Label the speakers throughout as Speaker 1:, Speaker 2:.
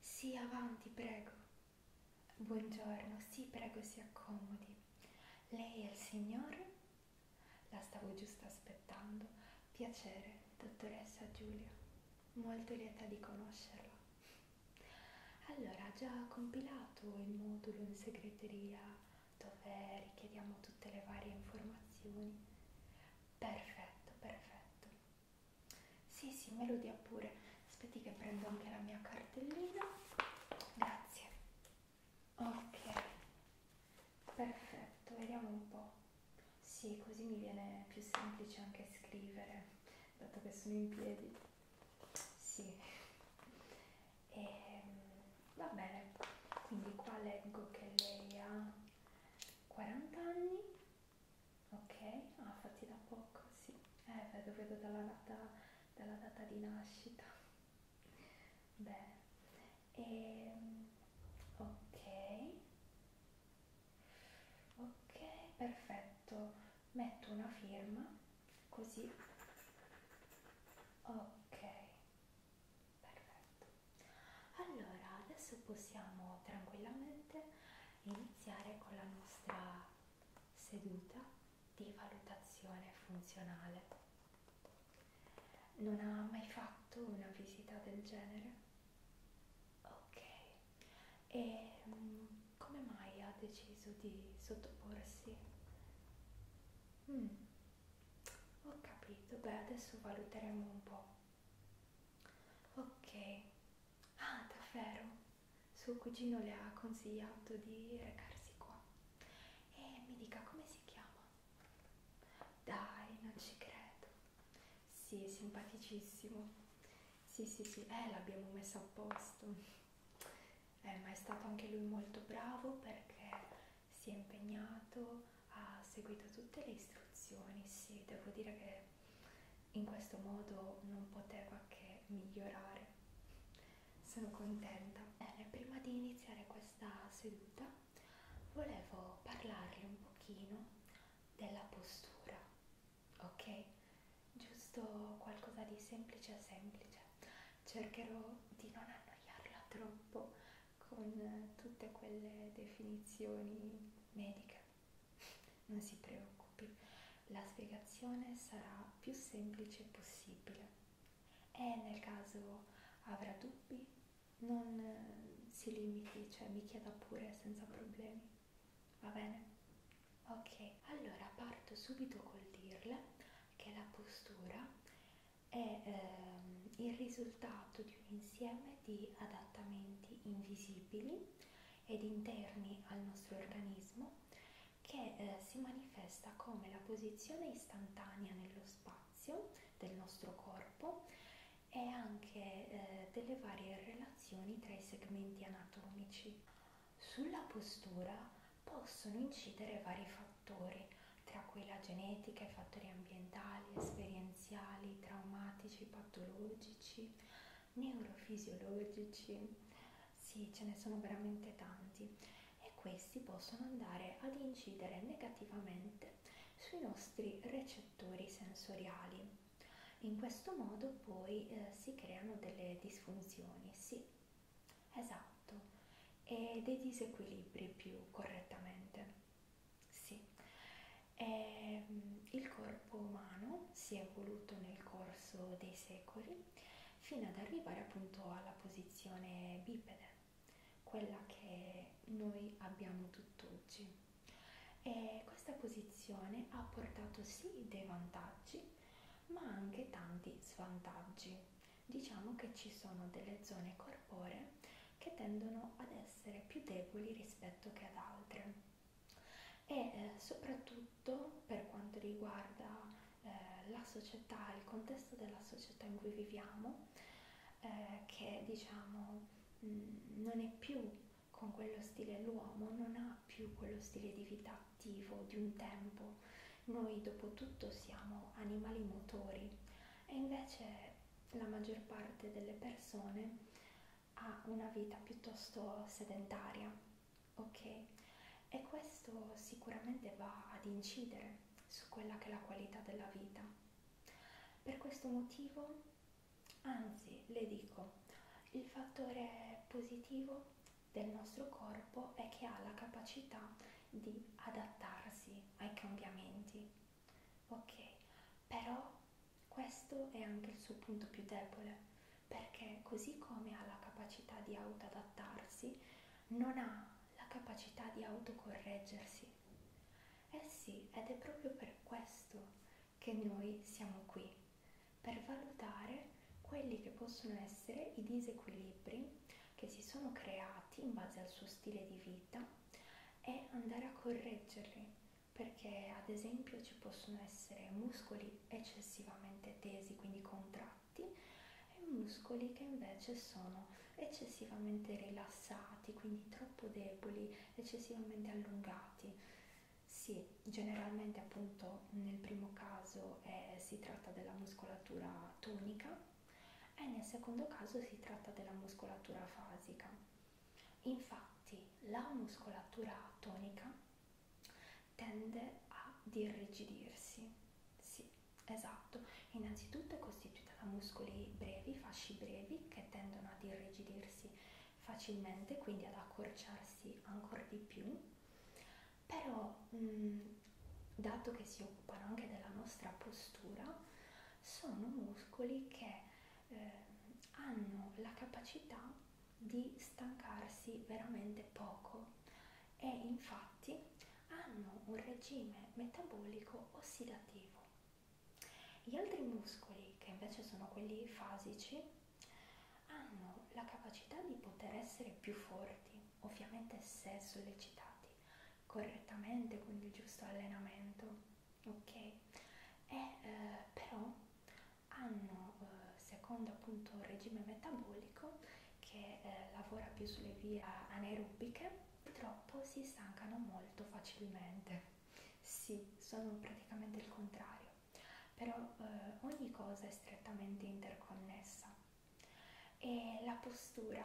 Speaker 1: Sì, avanti, prego. Buongiorno, sì, prego, si accomodi. Lei è il signor? La stavo giusto aspettando. Piacere, dottoressa Giulia. Molto lieta di conoscerla. Allora, ha già compilato il modulo in segreteria dove richiediamo tutte le varie informazioni? Perfetto, perfetto. Sì, sì, melodia pure. Aspetti che prendo anche la mia cartellina. Grazie. Ok. Perfetto, vediamo un po'. Sì, così mi viene più semplice anche scrivere, dato che sono in piedi. Sì. E, ehm, va bene. Quindi qua leggo che lei ha 40 anni Ok, ah fatti da poco, sì. Eh, vedo, vedo dalla data, dalla data di nascita. Bene. E, ehm, ok. Ok, perfetto. Metto una firma, così. Ok. Perfetto. Allora, adesso possiamo tranquillamente iniziare con la nostra seduta di valutazione funzionale. Non ha mai fatto una visita del genere? Ok. E mm, come mai ha deciso di sottoporsi? Mm. Ho capito, beh adesso valuteremo un po'. Ok. Ah, davvero? suo cugino le ha consigliato di recarsi qua e mi dica come si chiama dai non ci credo sì è simpaticissimo sì sì sì eh l'abbiamo messo a posto eh, ma è stato anche lui molto bravo perché si è impegnato ha seguito tutte le istruzioni sì devo dire che in questo modo non poteva che migliorare. Sono contenta. Bene, prima di iniziare questa seduta volevo parlarle un pochino della postura, ok? Giusto qualcosa di semplice semplice. Cercherò di non annoiarla troppo con tutte quelle definizioni mediche non si preoccupi, la spiegazione sarà più semplice possibile e nel caso avrà dubbi non eh, si limiti, cioè mi chieda pure senza problemi. Va bene? Ok, allora parto subito col dirle che la postura è ehm, il risultato di un insieme di adattamenti invisibili ed interni al nostro organismo che eh, si manifesta come la posizione istantanea nello spazio del nostro corpo e anche eh, delle varie relazioni tra i segmenti anatomici. Sulla postura possono incidere vari fattori, tra cui la genetica, i fattori ambientali, esperienziali, traumatici, patologici, neurofisiologici, sì, ce ne sono veramente tanti e questi possono andare ad incidere negativamente sui nostri recettori sensoriali. In questo modo poi eh, si creano delle disfunzioni, sì, esatto, e dei disequilibri più correttamente, sì. E, ehm, il corpo umano urbano si è evoluto nel corso dei secoli fino ad arrivare appunto alla posizione bipede, quella che noi abbiamo tutt'oggi. E questa posizione ha portato sì dei vantaggi, ma anche tanti svantaggi. Diciamo che ci sono delle zone corporee che tendono ad essere più deboli rispetto che ad altre e eh, soprattutto per quanto riguarda eh, la società, il contesto della società in cui viviamo, eh, che diciamo mh, mm, non è più con quello stile l'uomo, non ha più quello stile di vita attivo di un tempo. Noi dopo tutto siamo animali motori e invece la maggior parte delle persone ha una vita piuttosto sedentaria, ok? E questo sicuramente va ad incidere su quella che è la qualità della vita. Per questo motivo, anzi, le dico, il fattore positivo del nostro corpo è che ha la capacità di adattarsi ai cambiamenti, ok? Però questo è anche il suo punto più debole, perché così come ha la capacità di autoadattarsi, non ha la capacità di autocorreggersi. Eh sì, ed è proprio per questo che noi siamo qui, per valutare quelli che possono essere i disequilibri che si sono creati in base al suo stile di vita e andare a correggerli perché ad esempio ci possono essere muscoli eccessivamente tesi, quindi contratti, e muscoli che invece sono eccessivamente rilassati, quindi troppo deboli, eccessivamente allungati. Sì, generalmente appunto nel primo caso eh, si tratta della muscolatura tonica e nel secondo caso si tratta della muscolatura fasica. Infatti la muscolatura tonica tende ad irrigidirsi. Sì, esatto. Innanzitutto è costituita da muscoli brevi, fasci brevi che tendono ad irrigidirsi facilmente, quindi ad accorciarsi ancora di più. Però, mh, mm, dato che si occupano anche della nostra postura, sono muscoli che eh, hanno la capacità di stancarsi veramente poco e infatti hanno un regime metabolico ossidativo. Gli altri muscoli, che invece sono quelli fasici, hanno la capacità di poter essere più forti, ovviamente se sollecitati correttamente con il giusto allenamento, ok? E eh, però hanno, eh, secondo appunto il regime metabolico che eh, lavora più sulle vie anaerobiche, purtroppo si stancano molto facilmente. Sì, sono praticamente il contrario, però eh, ogni cosa è strettamente interconnessa e la postura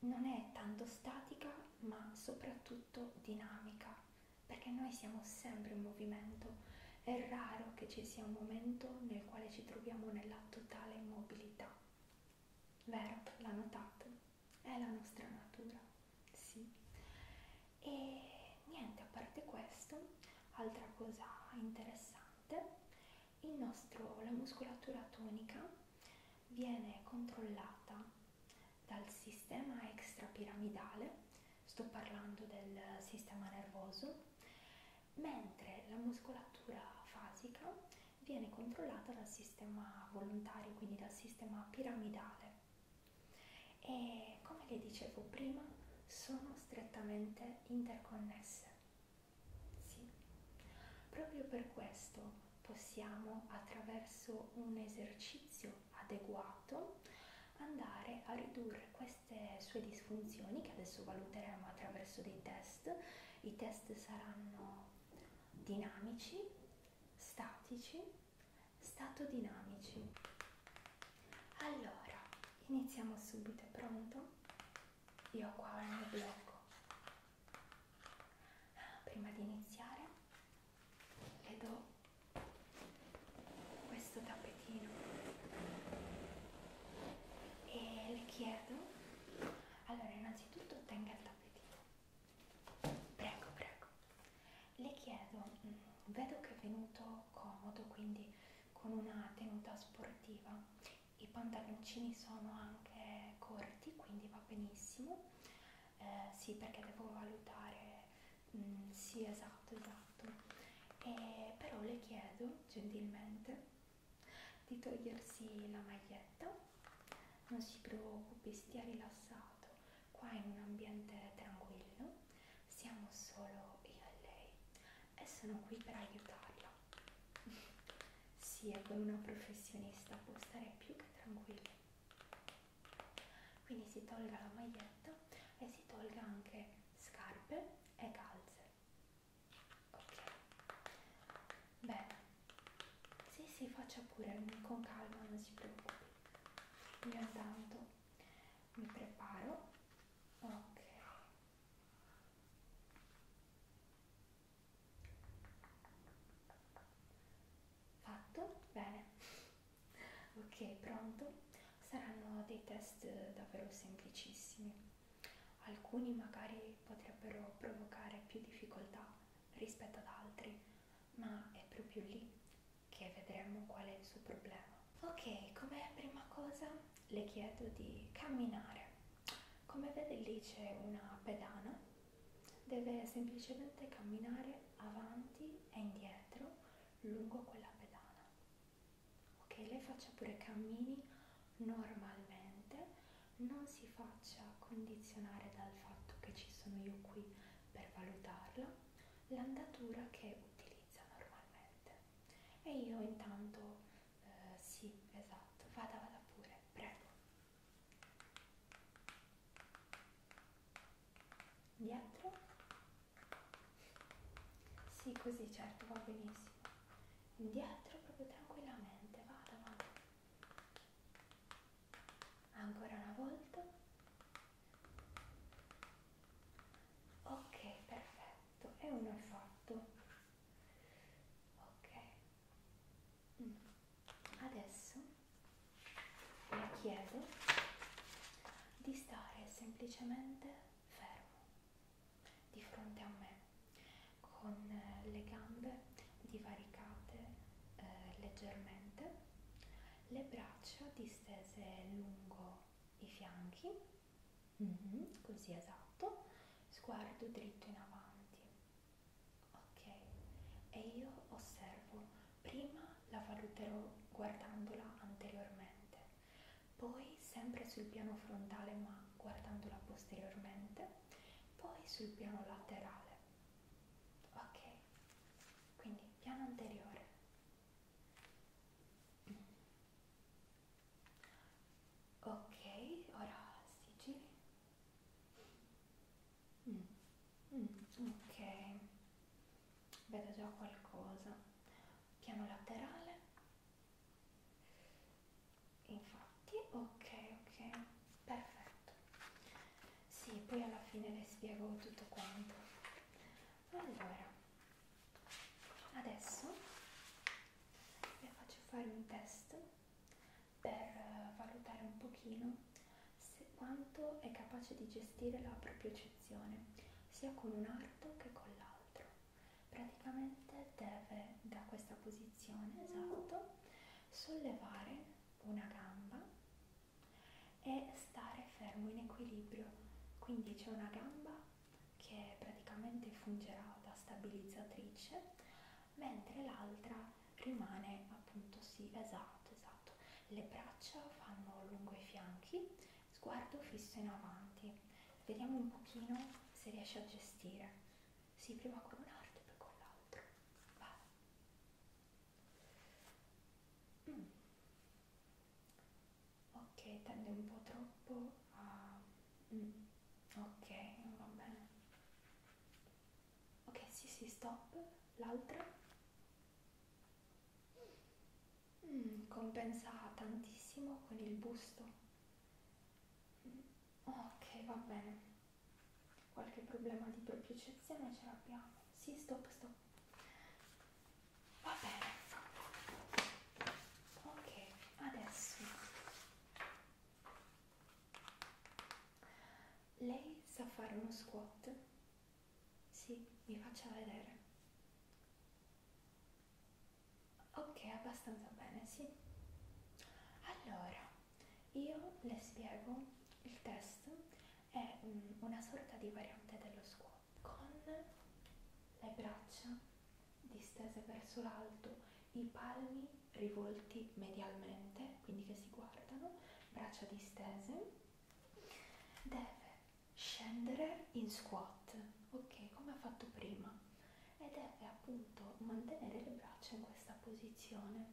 Speaker 1: non è tanto statica ma soprattutto dinamica perché noi siamo sempre in movimento. È raro che ci sia un momento nel quale ci troviamo nella totale immobilità. Vero? L'ha notato? È la nostra natura, sì. E niente, a parte questo, altra cosa interessante, il nostro, la muscolatura tonica viene controllata dal sistema extrapiramidale sto parlando del sistema nervoso, mentre la muscolatura fasica viene controllata dal sistema volontario, quindi dal sistema piramidale. E come le dicevo prima, sono strettamente interconnesse. Sì. Proprio per questo possiamo attraverso un esercizio adeguato andare a ridurre queste sue disfunzioni che adesso valuteremo attraverso dei test. I test saranno dinamici, statici, statodinamici. Allora, iniziamo subito, è pronto? Io ho qua ho il mio blocco. Ah, prima di iniziare le do questo tappetino e le chiedo allora innanzitutto tenga il tappetino prego prego le chiedo mm, vedo che è venuto comodo quindi con una tenuta sportiva i pantaloncini sono anche corti quindi va benissimo eh, sì perché devo valutare Mm, sì, esatto, esatto. E, però le chiedo gentilmente di togliersi la maglietta, non si preoccupi, stia rilassato, qua in un ambiente tranquillo, siamo solo io e lei e sono qui per aiutarla. sì, e con una professionista può stare più che tranquilla. Quindi si tolga la maglietta e si tolga anche scarpe e calze ok bene sì sì faccia pure con calma non si preoccupi io intanto mi preparo ok fatto bene ok pronto saranno dei test eh, davvero semplicissimi alcuni magari potrebbero provocare più difficoltà rispetto ad altri ma è proprio lì che vedremo qual è il suo problema ok come prima cosa le chiedo di camminare come vede lì c'è una pedana deve semplicemente camminare avanti e indietro lungo quella pedana ok lei faccia pure cammini normalmente non si faccia condizionare dal fatto che ci sono io qui per valutarla l'andatura che utilizza normalmente e io intanto eh, sì esatto vada vada pure prego dietro sì, così certo, va benissimo. Indietro proprio tranquillamente, vada, vada. Ancora una volta. Ok, perfetto. E uno è fatto. Ok. Mm. Adesso le chiedo di stare semplicemente fermo di fronte a me con eh, le gambe divaricate eh, leggermente, le braccia distese lungo i fianchi, mm -hmm, così esatto, sguardo dritto in avanti. Ok, e io osservo, prima la valuterò guardandola anteriormente, poi sempre sul piano frontale ma guardandola posteriormente, poi sul piano laterale. Ok, quindi piano anteriore. Ok, ora sigilli. Mm. Mm. Ok, vedo già qualcosa piano laterale infatti ok ok perfetto sì poi alla fine le spiego tutto quanto allora adesso vi faccio fare un test per eh, valutare un pochino se quanto è capace di gestire la proprio percezione, sia con un arto che con l'altro. Praticamente deve da questa posizione, esatto, sollevare una gamba e stare fermo in equilibrio. Quindi c'è una gamba che praticamente fungerà da stabilizzatrice, mentre l'altra rimane appunto sì, esatto, esatto. Le braccia fanno lungo i fianchi sguardo fisso in avanti. Vediamo un pochino se riesci a gestire. Sì, prima con un'arte e poi con l'altra. Vai. Mm. Ok, tende un po' troppo a... Mm. Ok, va bene. Ok, sì, sì, stop. L'altra. Mm, compensa tantissimo con il busto. Mm, ok, va bene. Qualche problema di propriocezione ce l'abbiamo. Sì, stop, stop. Va bene. Ok, adesso. Lei sa fare uno squat? Sì, mi faccia vedere. Ok, abbastanza bene, sì. Allora, io le spiego il test, è um, una sorta di variante dello squat con le braccia distese verso l'alto, i palmi rivolti medialmente, quindi che si guardano, braccia distese. Deve scendere in squat, ok, come ho fatto prima, ed è appunto mantenere le braccia in questa posizione.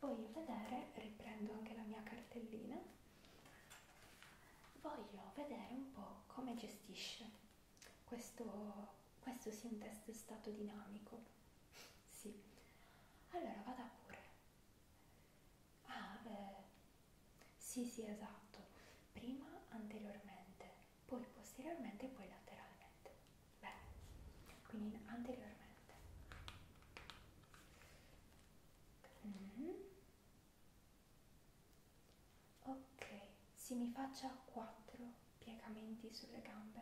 Speaker 1: Voglio vedere, riprendo anche la mia cartellina, voglio vedere un po' come gestisce questo, questo sia un test stato dinamico. Sì, allora vada pure. Ah, eh, sì, sì, esatto. Prima anteriormente, poi posteriormente e poi lateralmente. Bene, quindi anteriormente. Mm. Ok, si mi faccia 4 piegamenti sulle gambe.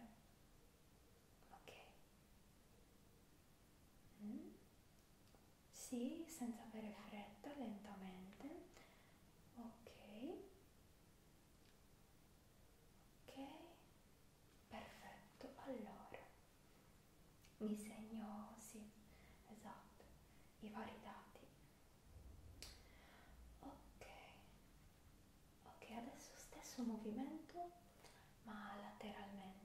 Speaker 1: Ok. Mm. Sì, senza avere fretta, lentamente. Ok. Ok. Perfetto. Allora, mi segno, sì, esatto, i vari dati. Ok. Ok, adesso stesso movimento, ma lateralmente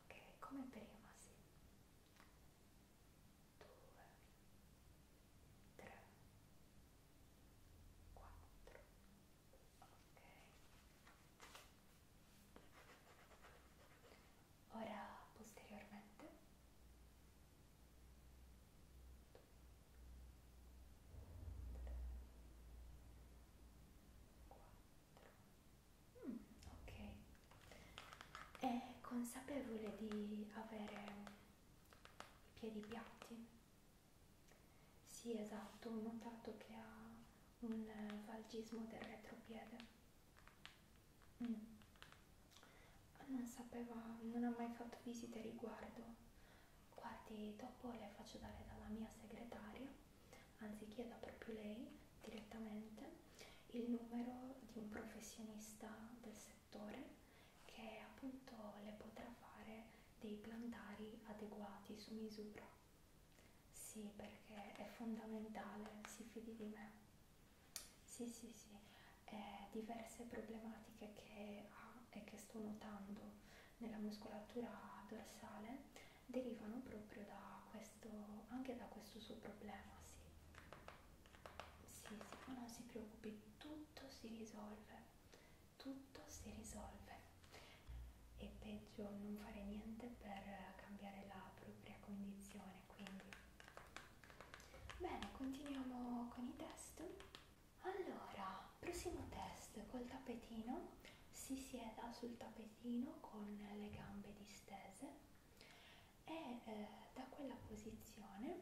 Speaker 1: ok come prima sì 2 3 4 ok ora posteriormente Due, tre, quattro, Mm, ok, è consapevole di avere i piedi piatti? Sì, esatto, ho notato che ha un valgismo del retropiede. Mm. Non sapeva, non ha mai fatto visite riguardo. Guardi, dopo le faccio dare dalla mia segretaria anzi chieda proprio lei direttamente il numero di un professionista del settore che appunto le potrà fare dei plantari adeguati su misura. Sì, perché è fondamentale, si fidi di me. Sì, sì, sì, eh, diverse problematiche che ha e che sto notando nella muscolatura dorsale derivano proprio da questo anche da questo suo problema sì sì, sì ma non si preoccupi tutto si risolve tutto si risolve e peggio non fare niente per cambiare la propria condizione quindi bene continuiamo con i test allora prossimo test col tappetino si sieda sul tappetino con le gambe distese e eh, da quella posizione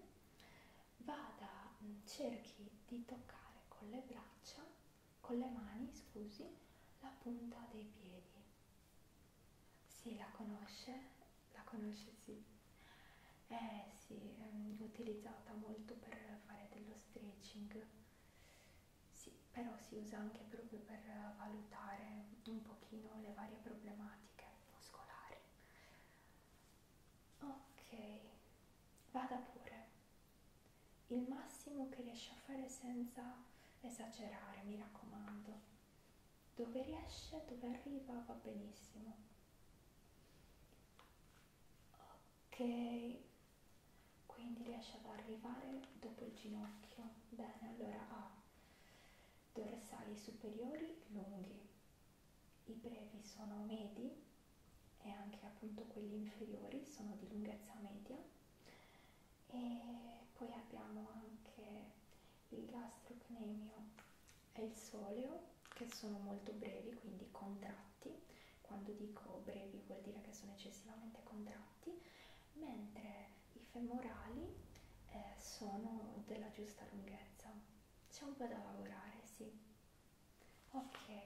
Speaker 1: vada, mm, cerchi di toccare con le braccia, con le mani, scusi, la punta dei piedi. Sì, la conosce? La conosce, sì. Eh sì, mm, utilizzata molto per fare dello stretching. Sì, però si usa anche proprio per valutare un pochino le varie problematiche muscolari. Ok, vada pure. Il massimo che riesci a fare senza esagerare, mi raccomando. Dove riesce, dove arriva va benissimo. Ok, quindi riesce ad arrivare dopo il ginocchio. Bene, allora A dorsali superiori lunghi, i brevi sono medi e anche appunto quelli inferiori sono di lunghezza media e poi abbiamo anche il gastrocnemio e il soleo che sono molto brevi quindi contratti quando dico brevi vuol dire che sono eccessivamente contratti mentre i femorali eh, sono della giusta lunghezza. C'è un po' da lavorare, sì. Ok.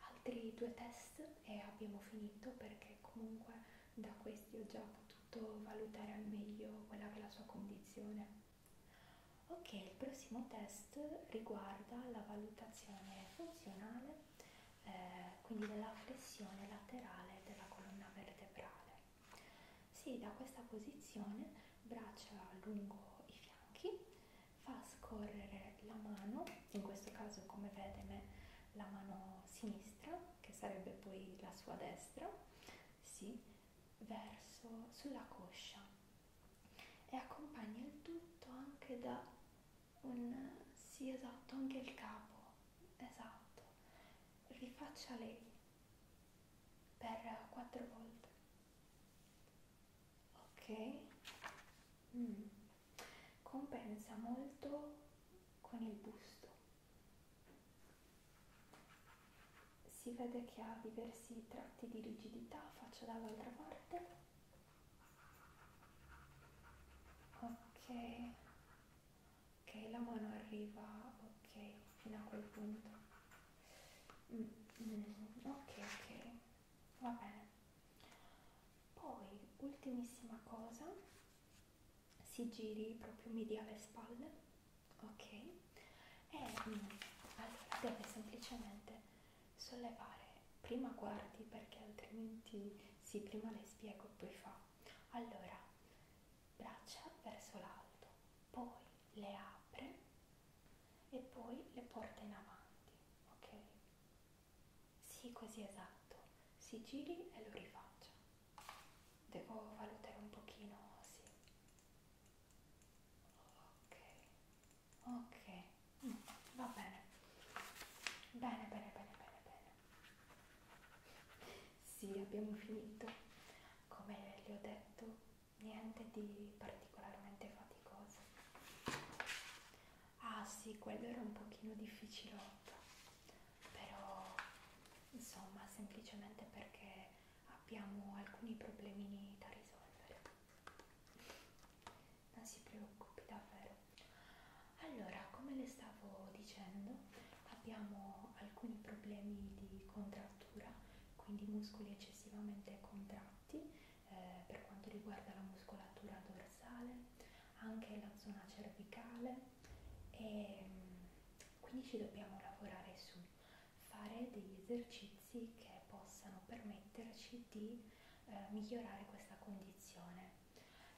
Speaker 1: Altri due test e abbiamo finito perché comunque da questi ho già potuto valutare al meglio quella che è la sua condizione. Ok, il prossimo test riguarda la valutazione funzionale eh, quindi della flessione laterale della colonna vertebrale. Si da questa posizione, braccia lungo i fianchi, fa scorrere la mano, in questo caso come vede me, la mano sinistra, che sarebbe poi la sua destra, sì, verso sulla coscia e accompagna il tutto anche da un sì esatto anche il capo esatto rifaccia lei per quattro volte ok mm. compensa molto con il busto si vede che ha diversi tratti di rigidità faccia dall'altra parte ok ok la mano arriva ok fino a quel punto mm, mm, ok ok va bene poi ultimissima cosa si giri proprio mediale spalle ok e mm, allora deve semplicemente sollevare. Prima guardi perché altrimenti sì, prima le spiego, poi fa. Allora, braccia verso l'alto, poi le apre e poi le porta in avanti, ok? Sì, così esatto. Si giri e lo rifaccia. Devo valutare un pochino, sì. Ok, ok va bene. Bene, bene, bene, bene, bene. Sì, abbiamo finito. Come vi ho detto, niente di particolarmente faticoso. Ah sì, quello era un pochino difficilotto, però insomma, semplicemente perché abbiamo alcuni problemini da risolvere non si preoccupi davvero allora come le stavo dicendo abbiamo alcuni problemi di contrattura quindi muscoli eccessivamente contratti eh, per quanto riguarda la muscolatura dorsale anche la zona cervicale e mm, quindi ci dobbiamo lavorare su fare degli esercizi che possano permetterci di eh, migliorare questa condizione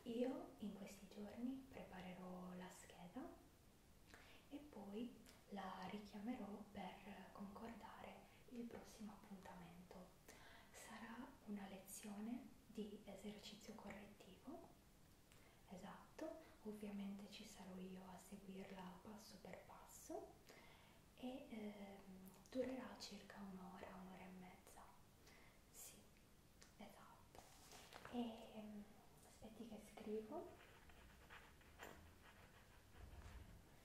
Speaker 1: io in questi giorni preparerò la scheda e poi la richiamerò per concordare il prossimo appuntamento. Sarà una lezione di esercizio correttivo, esatto, ovviamente ci sarò io a seguirla passo per passo e eh, durerà circa un'ora, un'ora e mezza. Sì, esatto. E mm, aspetti che scrivo.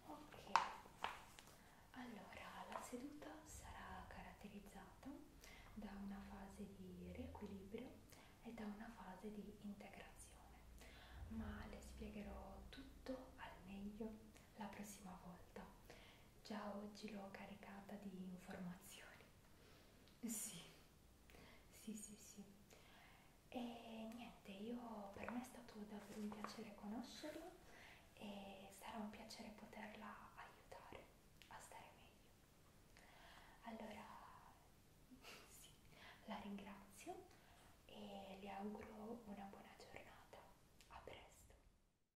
Speaker 1: Ok, allora la seduta sarà caratterizzata da una fase di riequilibrio e da una fase di integrazione, ma le spiegherò tutto al meglio la prossima volta Già oggi l'ho caricata di informazioni. Sì, sì, sì, sì. E niente, io per me è stato davvero un piacere conoscerla e sarà un piacere poterla aiutare a stare meglio. Allora, sì, la ringrazio e le auguro una buona giornata. A presto.